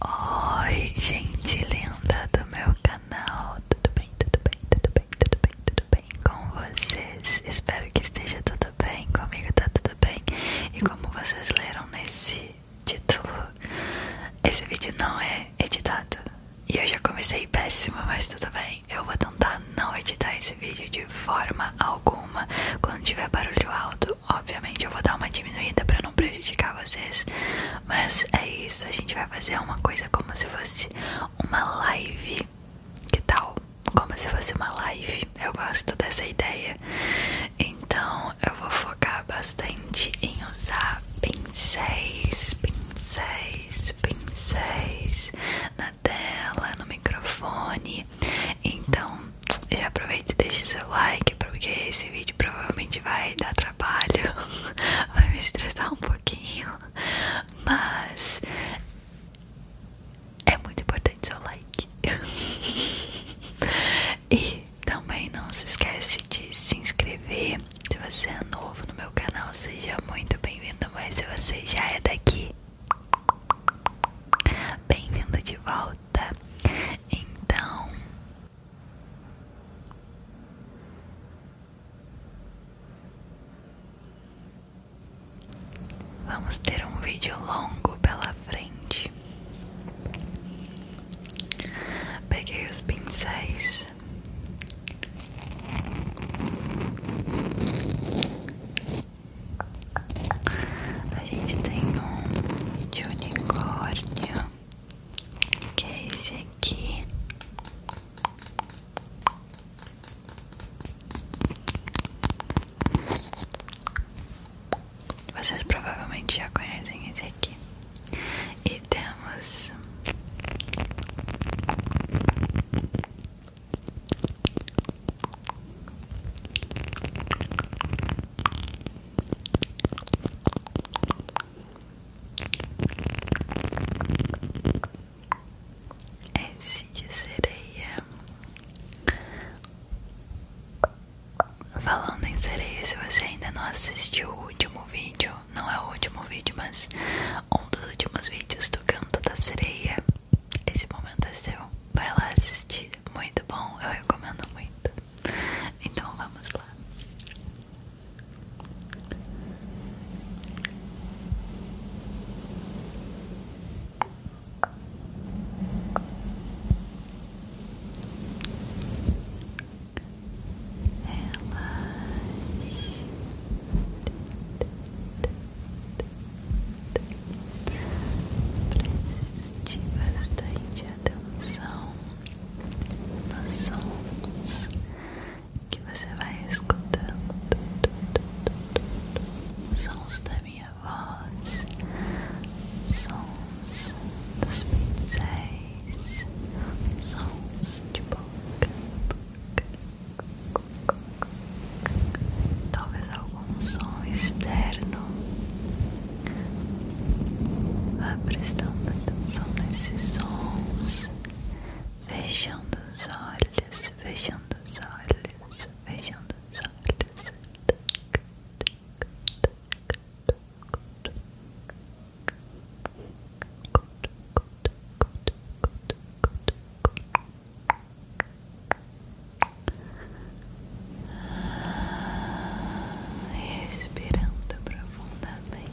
Oi, gente linda do meu canal, tudo bem, tudo bem, tudo bem, tudo bem, tudo bem com vocês? Espero que esteja tudo bem, comigo tá tudo bem E como vocês leram nesse título, esse vídeo não é editado E eu já comecei péssima, mas tudo bem Eu vou tentar não editar esse vídeo de forma alguma Quando tiver barulho alto Obviamente eu vou dar uma diminuída para não prejudicar vocês, mas é isso. A gente vai fazer uma coisa como se fosse uma live. Que tal? Como se fosse uma live. Eu gosto dessa ideia. Então eu vou focar bastante em usar pincéis, pincéis, pincéis na tela, no microfone. Então já aproveita e deixa seu like, porque esse vídeo provavelmente vai dar trabalho, vai me estressar um pouquinho, mas é muito importante seu like. e também não se esquece de se inscrever. Se você é novo no meu canal, seja muito bem-vindo, mas se você já é daqui, bem-vindo de volta. Então, Vamos ter um vídeo longo pela frente. Peguei os pincéis. A gente tem um de unicórnio que é esse aqui. Vocês provavelmente já conhecem esse aqui. E temos S de sereia. Falando em sereia, se você ainda não assistiu o último vídeo, não é o último vídeo, mas um dos últimos vídeos do canto da sereia, esse momento é seu. Vai lá assistir, muito bom, eu recomendo muito. Então vamos lá. Relaxe. Preste bastante atenção nos sons que você vai escutando, sons da minha voz, sons dos pincéis, sons de boca. Talvez algum som externo Vá prestando atenção nesses sons, fechando os olhos, fechando os olhos, fechando os olhos. Relaxa, relaxa, relaxa, relaxa, relaxa, relaxa, relaxa, relaxa, relaxa, relaxa, respirando profundamente.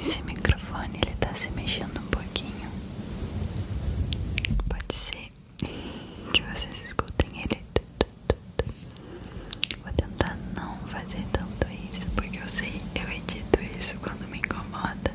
Esse microfone ele tá se mexendo um pouquinho. Pode ser que vocês escutem ele. Vou tentar não fazer tanto isso, porque eu sei, eu edito isso quando me incomoda.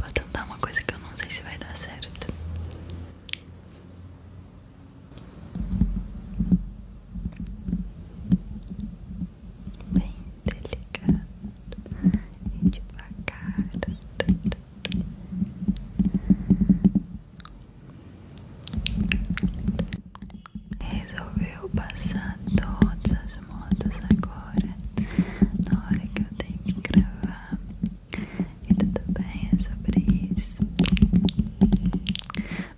vou tentar uma coisa que eu não sei se vai dar certo. Bem delicado e devagar. Resolveu passar todas as modos agora, na hora que eu tenho que gravar. E tudo bem, é sobre isso.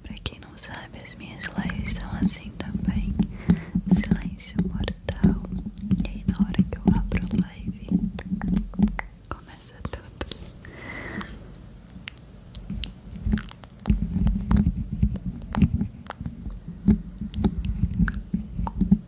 Pra quem não sabe, as minhas lives são assim também: silêncio mortal. E aí, na hora que eu abro a live, começa tudo. Então,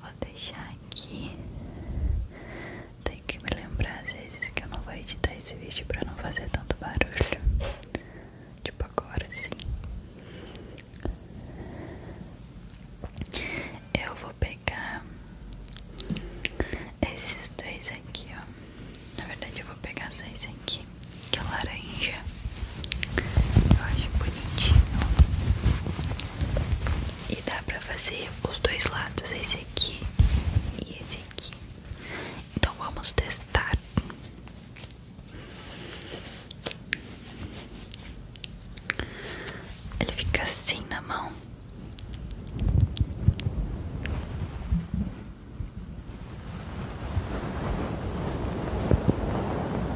Vou deixar aqui. Tem que me lembrar às vezes que eu não vou editar esse vídeo pra não fazer tanto barulho. Tipo agora sim. Eu vou pegar esses dois aqui, ó. Na verdade eu vou pegar só esse aqui, que é laranja. Eu acho bonitinho. E dá pra fazer os dois lados, esse aqui e esse aqui. Então vamos testar. Ele fica assim na mão.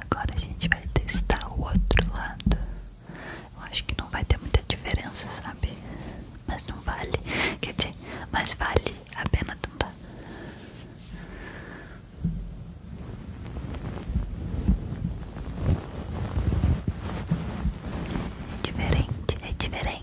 Agora a gente vai testar o outro lado. Eu acho que não vai ter muita diferença, sabe? Mas não vale. Quer dizer, mas vale a pena tentar. É diferente, é diferente.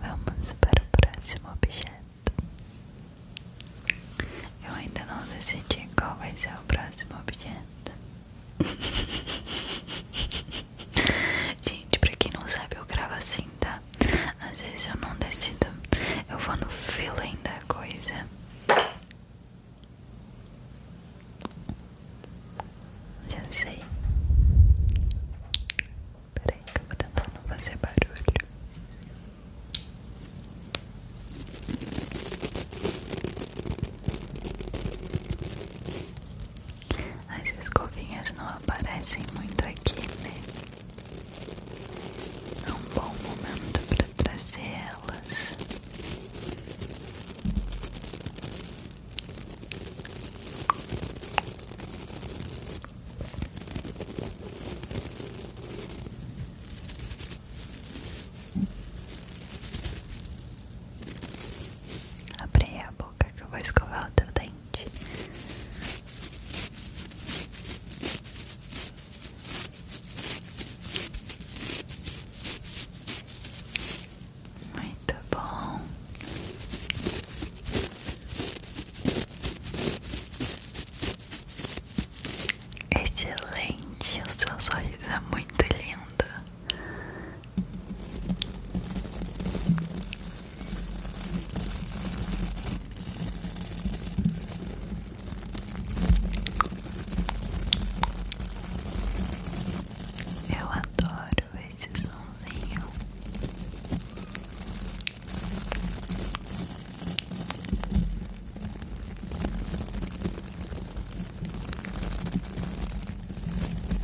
Vamos para o próximo objeto. Eu ainda não decidi qual vai ser o próximo objeto. Gente, pra quem não sabe, eu gravo assim, tá? Às vezes eu não decido, eu vou no feeling da coisa. Já sei. Peraí, que eu vou tentar não fazer barulho. As escovinhas não aparecem muito aqui, né? É um bom momento para trazer elas. Abre a boca boca que eu vou escovar o teu dente. Muito bom. Excelente, o seu sorriso é muito lindo. Eu adoro esse somzinho.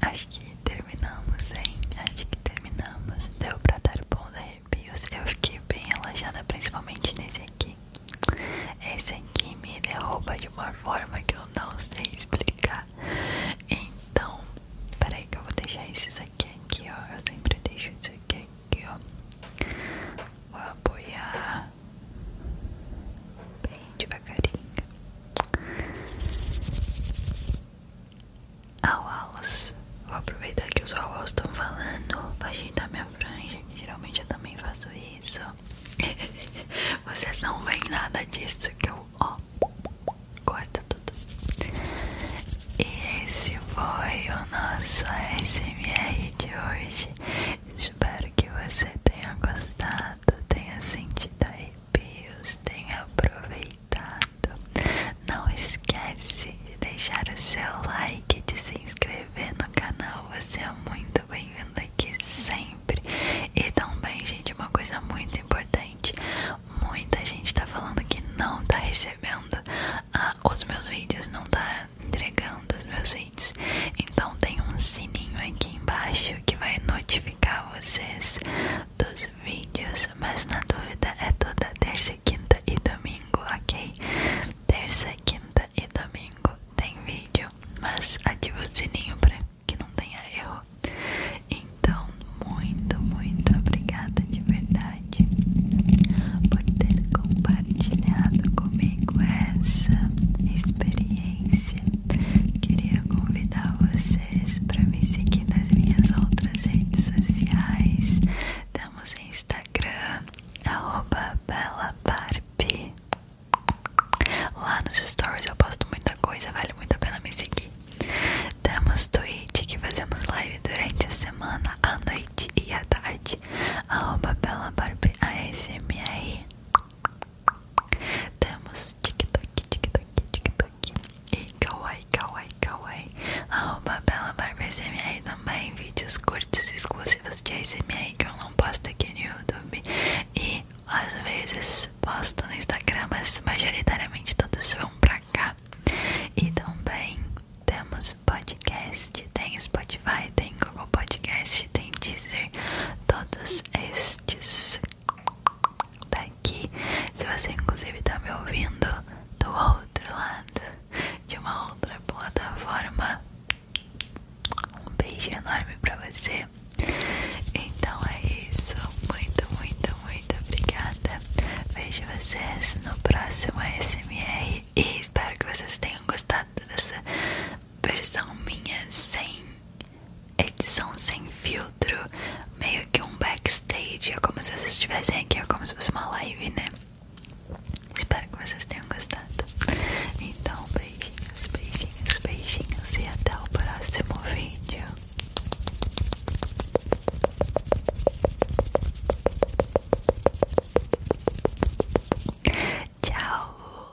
Acho que terminamos, hein? Acho que terminamos. Deu pra dar bons arrepios. Eu fiquei bem relaxada, principalmente nesse aqui. Esse aqui me derruba de uma forma que eu não sei explicar. Então, peraí que eu vou deixar esses aqui, aqui, ó. Eu sempre deixo isso aqui, aqui, ó. Vou apoiar bem devagarinho Auaus, vou aproveitar que os auaus estão falando pra ajeitar minha franja, que geralmente eu também faço isso Vocês não veem nada disso que eu, ó, corto tudo E esse foi o nosso ASMR de hoje espero que você tenha gostado, tenha sentido arrepios, tenha aproveitado. Não esquece de deixar o seu like, de se inscrever no canal. Você é muito bem-vindo aqui sempre. E também, gente, uma coisa muito importante. Muita gente está falando que não está recebendo ah, os meus vídeos, não está entregando os meus vídeos. Então tem um sininho aqui embaixo que vai notificar vocês dos vídeos. Mas na dúvida é toda terça, quinta e domingo, ok? Terça, quinta e domingo tem vídeo, mas ative o sininho para que não tenha erro. Então, muito, muito obrigada de verdade por ter compartilhado comigo essa experiência queria convidar vocês para me seguir nas minhas outras redes sociais. Estamos Instagram, arroba Lá nos stories eu posto muita coisa, vale muito a pena me seguir. Temos Twitch, que fazemos live durante a semana, à noite e à tarde. Arroba ASMR. Temos TikTok, TikTok, TikTok e Kawaii, Kawaii, Kawaii. Arroba Bela Barba SMR também. Vídeos curtos e exclusivos de SMR que eu não posto aqui no YouTube. E às vezes posto no Instagram, mas majoritariamente todas vão pra cá. E também temos podcast, tem Spotify, tem Google Podcast, tem Deezer, todos esses podcasts daqui. Se você, inclusive, está me ouvindo do outro lado, de uma outra plataforma, um beijo enorme para você. Então é isso. Muito, muito, muito obrigada. Vejo vocês no próximo ASMR e espero que vocês tenham gostado dessa versão minha sem edição sem filtro, meio que um backstage. É como se vocês estivessem aqui, é como se fosse uma live, né? Espero que vocês tenham gostado. Então, beijinhos, beijinhos, beijinhos e até o próximo vídeo. Tchau!